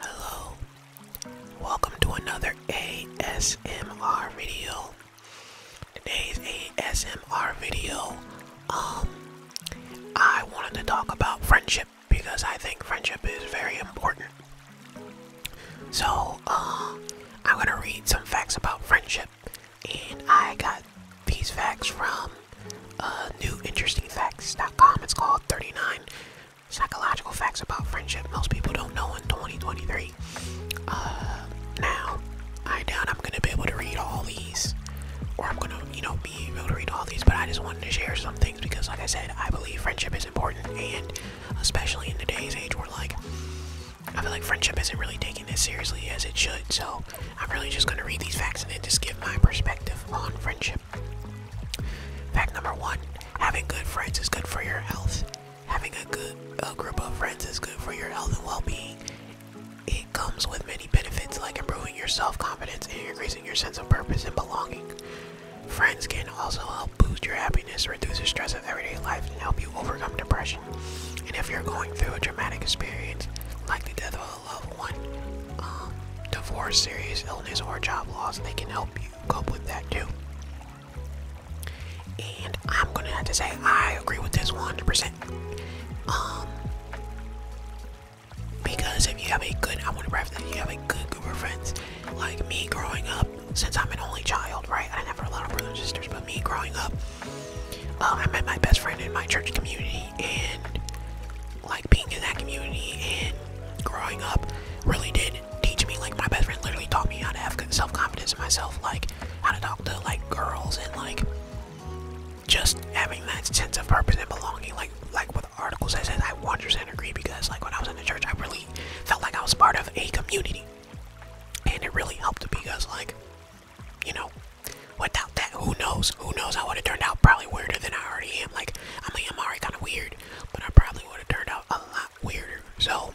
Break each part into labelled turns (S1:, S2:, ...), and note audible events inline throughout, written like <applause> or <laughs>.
S1: Hello, welcome to another ASMR video. Today's ASMR video, um, I wanted to talk about friendship because I think friendship is very important. So, uh, I'm gonna read some facts about friendship, and I got these facts from uh, newinterestingfacts.com. It's called 39 psychological facts about friendship most people don't know in 2023. Uh, now, I doubt I'm gonna be able to read all these, or I'm gonna, you know, be able to read all these, but I just wanted to share some things because, like I said, I believe friendship is important, and especially in today's age where, like, I feel like friendship isn't really taken as seriously as it should, so I'm really just gonna read these facts and then just give my perspective on friendship. Fact number one having good friends is good for your health. Having a good a group of friends is good for your health and well being. It comes with many benefits like improving your self confidence and increasing your sense of purpose and belonging. Friends can also help boost your happiness, reduce the stress of everyday life, and help you overcome depression. And if you're going through a traumatic experience, like the death of a loved one, um, divorce, serious illness, or job loss, they can help you cope with that too. And I'm gonna have to say I agree with this 100%. Um, because if you have a good, I want to preface you have a good group of friends, like me growing up, since I'm an only child, right? I never had a lot of brothers and sisters, but me growing up, uh, I met my best friend in my church community, and like being in that community and growing up really did teach me like my best friend literally taught me how to have self-confidence in myself like how to talk to like girls and like just having that sense of purpose and belonging like like with articles i said i 100% agree because like when i was in the church i really felt like i was part of a community and it really helped because like you know without that who knows who knows i would have turned out probably weirder than i already am like i mean i'm already kind of weird but I probably would have turned out a lot weirder. So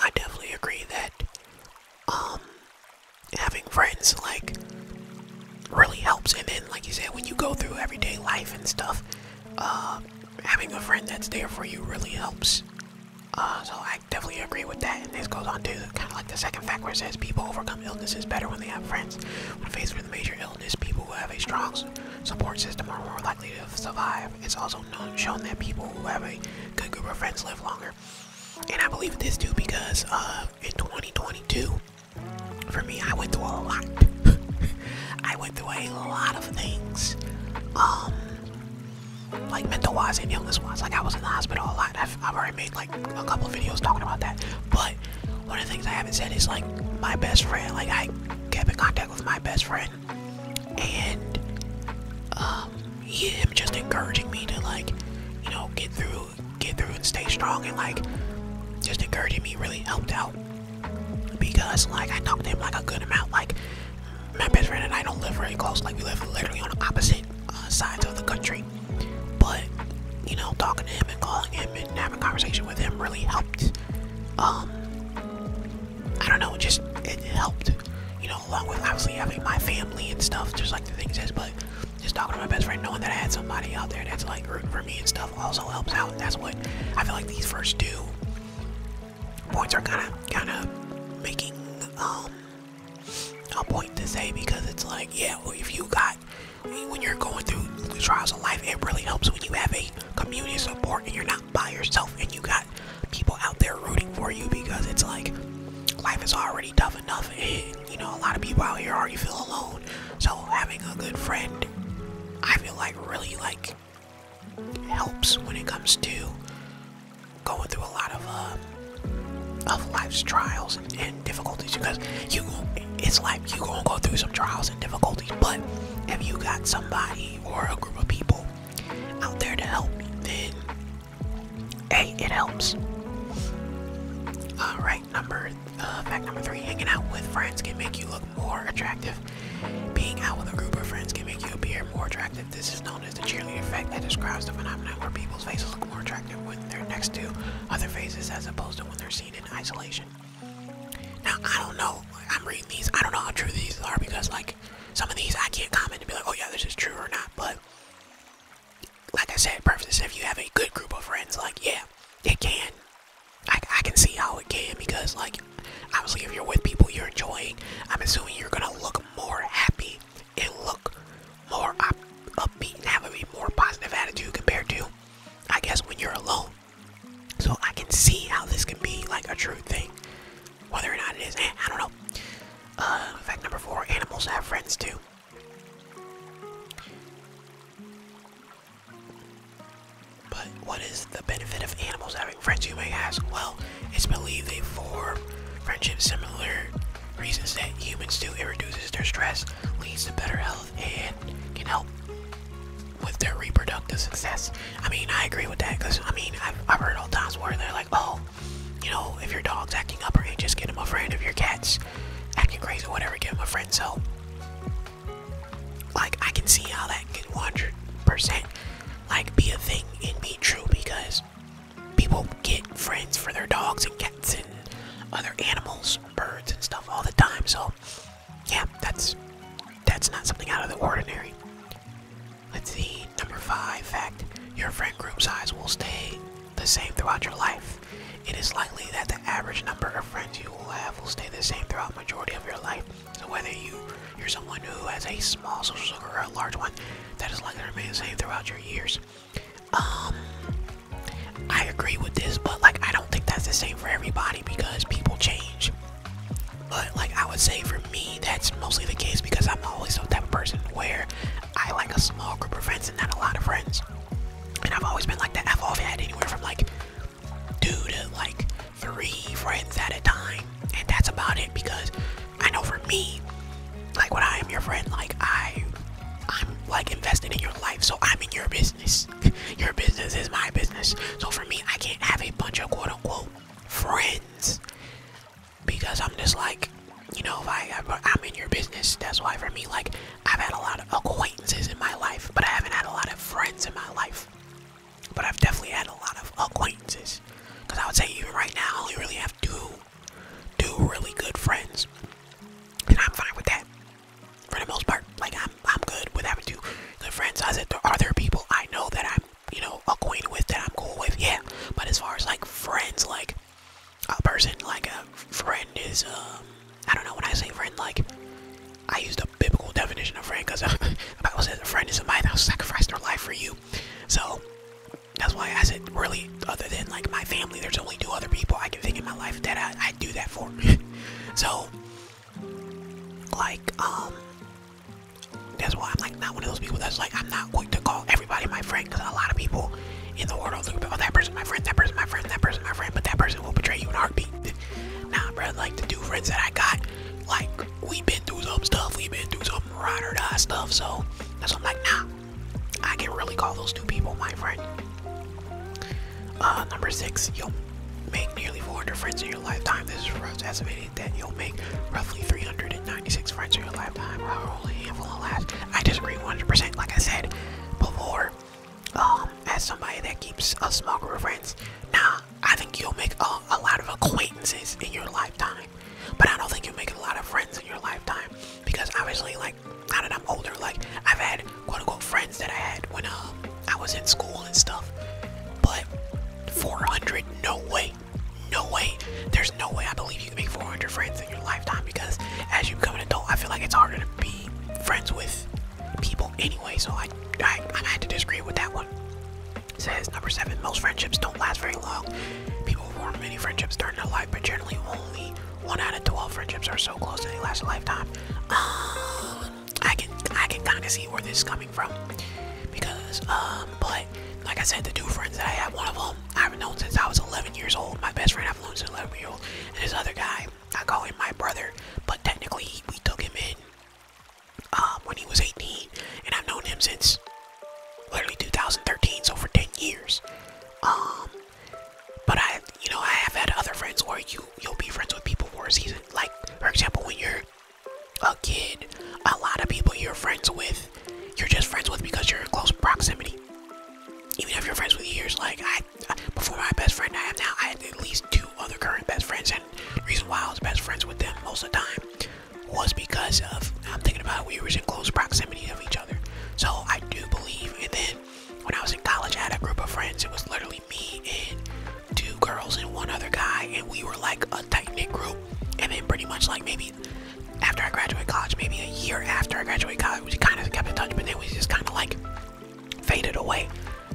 S1: I definitely agree that um having friends like really helps and then like you said when you go through everyday life and stuff, uh having a friend that's there for you really helps. Uh, so I definitely agree with that. And this goes on to kind of like the second fact where it says people overcome illnesses better when they have friends. When faced with major illness, people who have a strong support system are more likely to survive. It's also shown that people who have a good group of friends live longer. And I believe this too because uh, in 2022, for me, I went through a lot. <laughs> I went through a lot of things, um, like mental wise and illness wise. Like I was in the hospital a lot. I've already made like a couple videos talking about that, but one of the things I haven't said is like my best friend. Like I kept in contact with my best friend, and um, he, him just encouraging me to like, you know, get through, get through, and stay strong, and like, just encouraging me really helped out because like I talked to him like a good amount. Like my best friend and I don't live very close. Like we live literally on opposite uh, sides of the country, but you know, talking to him and calling him and having a conversation with him really helped. Um, I don't know, it just it helped, you know, along with obviously having my family and stuff, just like the things is, but just talking to my best friend, knowing that I had somebody out there that's like rooting for me and stuff also helps out. that's what I feel like these first two points are kind of kind of making um, a point to say because it's like, yeah, well, if you got when you're going through the trials of life, it really helps when you have a community support and you're not by yourself and you got people out there rooting for you because it's like life is already tough enough and you know a lot of people out here already feel alone. So having a good friend, I feel like really like helps when it comes to going through a lot of uh, of life's trials difficulties because you it's like you gonna go through some trials and difficulties but if you got somebody or a group of people out there to help then hey it helps all right number uh, fact number three hanging out with friends can make you look more attractive being out with a group of friends can make you appear more attractive this is known as the cheerleader effect that describes the phenomenon where people's faces look more attractive when they're next to other faces as opposed to when they're seen in isolation now I don't know. I'm reading these. I don't know how true these are because like some of these I can't comment and be like, oh yeah, this is true or not. But like I said, preface if you have a good group of friends, like yeah, it can. I, I can see how it can because like obviously if you're with people you're enjoying, I'm assuming you're gonna look more happy and look more up, upbeat and have a more positive attitude compared to, I guess, when you're alone. So I can see how this can be like a true thing. Whether or not it is, eh, I don't know. Uh, fact number four, animals have friends too. But what is the benefit of animals having friends, you may ask? Well, it's believed they form friendships similar reasons that humans do. It reduces their stress, leads to better health and can help with their reproductive success. I mean, I agree with that because I mean, I've, heard all times where they're like, oh, you know, if your dog's acting up or just get him a friend. If your cat's acting crazy or whatever, get him a friend. So, like, I can see how that can 100% like be a thing and be true because people get friends for their dogs and cats and other animals, birds and stuff all the time. So, yeah, that's that's not something out of the ordinary. Let's see, number five fact. Your friend group size will stay the same throughout your life. It is likely that the average number of friends you will have will stay the same throughout majority of your life. So whether you you're someone who has a small social circle or a large one, that is likely to remain the same throughout your years. Um I agree with this, but like I don't think that's the same for everybody because people change. But like I would say for me, that's mostly the case because I'm always the type of person where I like a small group of friends and not a lot of friends. And I've always been like that. I've always had anywhere from like two to like three friends at a time. And that's about it because I know for me, like when I am your friend, like I I'm like invested in your life, so I'm in your business. <laughs> Your business is my business. So for me, I can't have a bunch of quote unquote friends because I'm just like, you know, if I I'm in your business, that's why for me, like I've had a lot of acquaintances in my life, but I haven't had a lot of friends in my life. But I've definitely had a lot of acquaintances because I would say even right now, I really have two, two really good friends, and I'm fine with that for the most part. Like I'm, I'm good with having two good friends. I said, there are there people I know that I'm, you know, acquainted with that I'm cool with? Yeah. But as far as like friends, like a person, like a friend is, um, I don't know. When I say friend, like I use a biblical definition of friend because <laughs> the Bible says a friend is somebody that sacrificed their life for you. So that's why I said really other than like my family, there's only two other people I can think of my life that I, I do that for. <laughs> so like, um, that's why I'm like not one of those people that's like, I'm not going to call everybody my friend because a lot of people in the world look at, oh, that person my friend, that person my friend, that person my friend, but that person will betray you in a heartbeat. <laughs> nah, bro, like the two friends that I got, like, we've been through some stuff, we've been through some ride or die stuff, so that's why I'm like, nah, I can really call those two people my friend. Uh, number six, you'll make nearly 400 friends in your lifetime. This is for us estimated that you'll make roughly 396 friends in your lifetime. However, only a handful will I disagree 100%. Like I said before, um, as somebody that keeps a small group of friends, nah, I think you'll make a, a lot of acquaintances in your lifetime. But I don't think you'll make a lot of friends in your lifetime because obviously, like like now that I'm older, like I've had quote unquote friends that I had when um I was in school and stuff. But 400, no way, no way. There's no way I believe you can make 400 friends in your lifetime because as you become an adult, I feel like it's harder to be friends with people anyway. So I, I, I had to disagree with that one. says number seven, most friendships don't last very long. People form many friendships during their life, but generally only one out of twelve friendships are so close that they last a lifetime. Um, I can I can kind of see where this is coming from because um, but like I said, the two friends that I have, one of them I've known since I was 11 years old. My best friend I've known since 11 years old, and this other guy I call him my brother, but technically we took him in um, when he was 18, and I've known him since literally 2013, so for 10 years. But I, you know, I have had other friends Or you you'll be friends with people for a season. Like for example, when you're a kid, a lot of people you're friends with, you're just friends with because you're in close proximity. Even if you're friends with years, like I, uh, before my best friend I have now, I had at least two other current best friends, and reason why I was best friends with them most of the time was because of I'm thinking about we were in close proximity of each other. So I do believe, and then when I was in college, I had a group of friends. It was literally me and two girls and one other guy, and we were like a tight knit group. And then pretty much like maybe after I graduated college, maybe a year after I graduated college, we kind of kept in touch, but then we just kind of like faded away.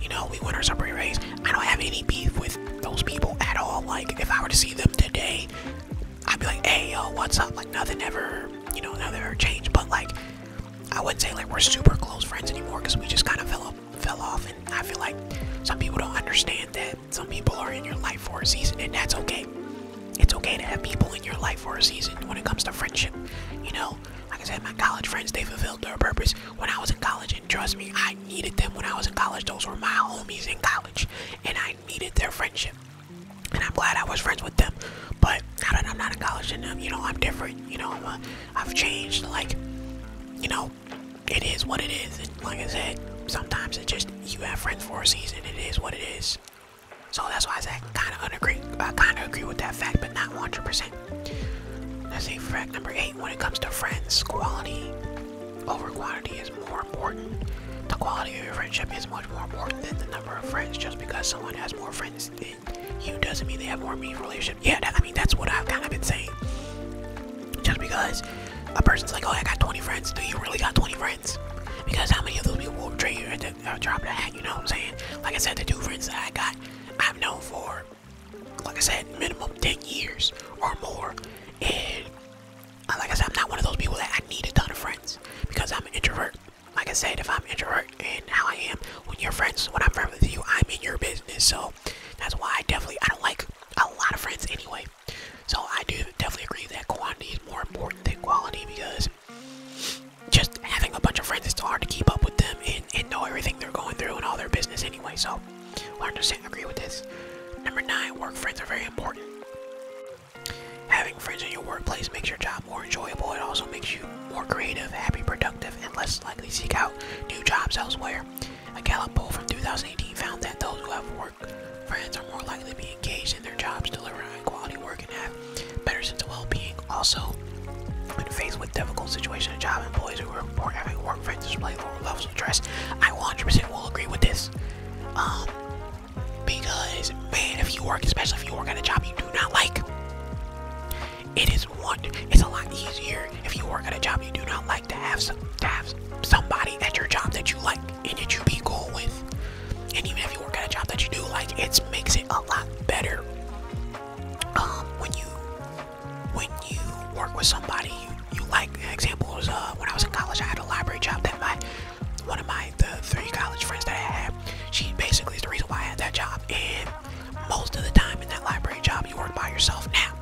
S1: You know, we went our separate ways. I don't have any beef with those people at all. Like, if I were to see them today, I'd be like, hey, yo, what's up? Like, nothing ever, you know, nothing ever changed. But like, I wouldn't say like we're super close friends anymore because we just kind of fell, fell off. And I feel like some people don't understand that some people are in your life for a season, and that's okay. It's okay to have people in your life for a season when it comes to friendship. You know, like I said, my college friends, they fulfilled their purpose when I was in college. And trust me, I needed them when I was in college. Those were my homies in college, and I needed their friendship. And I'm glad I was friends with them but I'm not in college and um, you know I'm different, you know i I've changed. Like you know, it is what it is. And like I said, sometimes it just you have friends for a season. It is what it is. So that's why I said kind of agree. I kind of agree with that fact, but not 100%. Let's see, fact number eight. When it comes to friends, quality over quantity is more important. The quality of your friendship is much more important than the number of friends. Just because someone has more friends, you doesn't mean they have warm meaningful relationship. Yeah, I mean that's what I've kind of been saying. Just because a person's like, oh, I got 20 friends, do you really got 20 friends? Because how many of those people will trade you at uh, drop of the hat? You know what I'm saying? Like I said, the two friends that I got, I've known for, like I said, minimum 10 years or more. And uh, like I said, I'm not one of those people that I need a ton of friends because I'm an introvert like I said, if I'm introvert and how I am, when you're friends, when I'm friends with you, I'm in your business. So that's why I definitely I don't like a lot of friends anyway. So I do definitely agree that quantity is more important than quality because just having a bunch of friends it's hard to keep up with them and, and know everything they're going through and all their business anyway. So 100% agree with this. Number nine, work friends are very important. Having friends in your workplace makes your job more enjoyable. It also makes you more creative, happy, productive, and less likely to seek out new jobs elsewhere. A Gallup poll from 2018 found that those who have work friends are more likely to be engaged in their jobs, deliver high-quality work, and have better sense of well-being. Also, when faced with difficult situations at job, employees who report having work friends display lower levels of stress. I 100% will agree with this. Um, because man, if you work, especially if you work at a job you do not like, it is one. It's a lot easier if you work at a job you do not like to have some, have somebody at your job that you like and that you be cool with. And even if you work at a job that you do like, it makes it a lot better. Um, when you when you work with somebody you, you like. Examples: uh, when I was in college, I had a library job that my one of my the three college friends that I had. She basically is the reason why I had that job, most of the time in that library job you work by yourself. Now,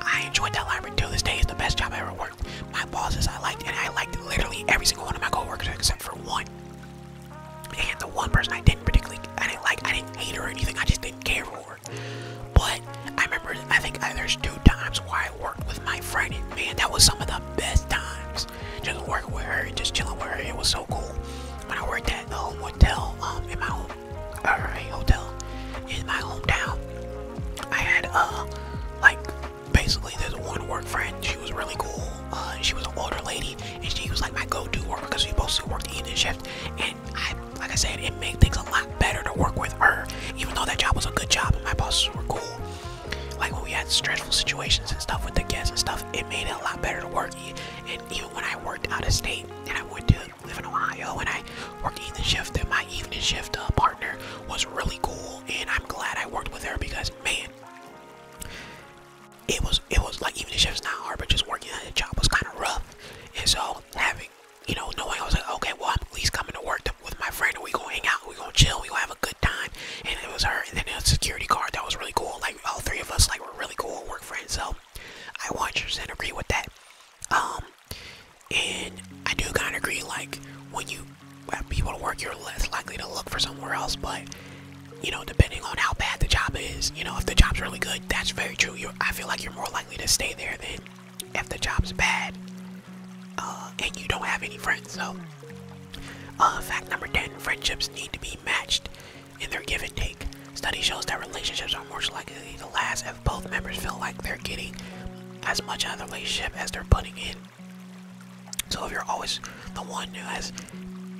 S1: I enjoyed that library till this day. It's the best job I ever worked. My bosses I liked, and I liked literally every single one of my coworkers except for one. And the one person I didn't particularly, I didn't like, I didn't hate her or anything. I just didn't care for her. But I remember, I think uh, there's two times where I worked with my friend, man, that was some of the best times. Just working with her and just chilling with her. It was so cool when I worked at a hotel um, in my home, hotel in my hometown, I had uh, like basically there's one work friend. She was really cool. Uh, she was an older lady, and she was like my go-to work because we both worked the evening shift. And I, like I said, it made things a lot better to work with her, even though that job was a good job my bosses were cool. Like when we had stressful situations and stuff with the guests and stuff, it made it a lot better to work and even when I worked out of state and I went to live in Ohio and I worked evening shift, then my evening shift uh, partner was really cool, and I'm glad I worked with her because man, it was it was like evening shift's not hard, but just working at a job was kind of rough, and so having you know knowing I was like, okay, well I'm at least coming to work to, with my friend, and we gonna hang out, we gonna chill, we gonna have a good time, and it was her, and then the security guard that was really cool. Like, all three of us like we're really cool work friends so i 100 and agree with that um and i do kind of agree like when you have uh, people to work you're less likely to look for somewhere else but you know depending on how bad the job is you know if the job's really good that's very true you i feel like you're more likely to stay there than if the job's bad uh, and you don't have any friends so uh, fact number 10 friendships need to be matched in their give and take. Study shows that relationships are more likely to last if both members feel like they're getting as much out of the relationship as they're putting in. So if you're always the one who has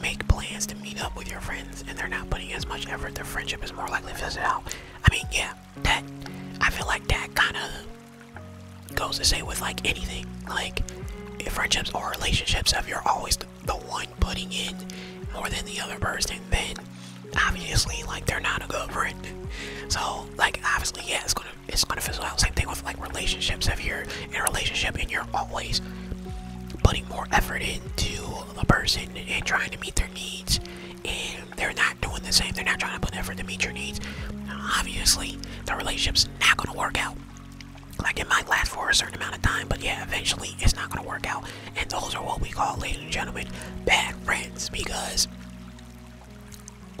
S1: make plans to meet up with your friends and they're not putting as much effort, their friendship is more likely to fizzle out. I mean, yeah, that I feel like that kind of goes the same with like anything, like friendships or relationships. If you're always the one putting in more than the other person, then obviously like they're not a good friend. So like obviously yeah it's gonna it's gonna fizzle out. Same thing with like relationships. If you're in a relationship and you're always putting more effort into a person and trying to meet their needs and they're not doing the same, they're not trying to put effort to meet your needs, obviously the relationship's not gonna work out like it might last for a certain amount of time but yeah eventually it's not going to work out and those are what we call ladies and gentlemen bad friends because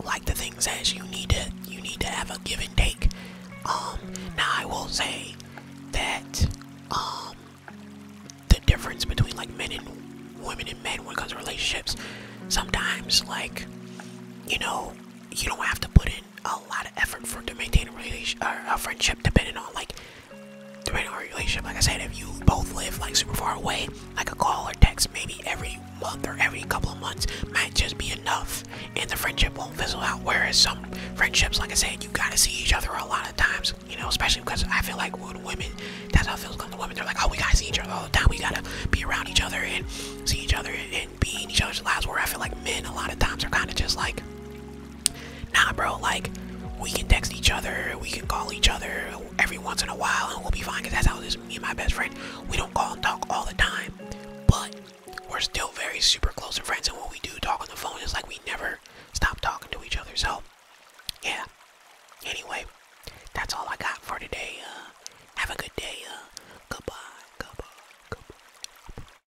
S1: like the things says you need to you need to have a give and take um now i will say that um the difference between like men and women and men when it comes to relationships sometimes like you know you don't have to put in a lot of effort for to maintain a relation a friendship depending on like depending on a relationship like i said if you both live like super far away like a call or text maybe every month or every couple of months might just be enough and the friendship won't fizzle out whereas some friendships like i said you gotta see each other a lot of times you know especially because i feel like with women that's how it feels with the women they're like oh we gotta see each other all the time we gotta be around each other and see each other and, and be in each other's lives where i feel like men a lot of times are kind of just like Nah, bro, like, we can text each other, we can call each other every once in a while, and we'll be fine, because that's how it is. Me and my best friend, we don't call and talk all the time, but we're still very super close and friends, and when we do talk on the phone, it's like we never stop talking to each other. So, yeah. Anyway, that's all I got for today. Uh, have a good day. Uh, goodbye. Goodbye. Goodbye.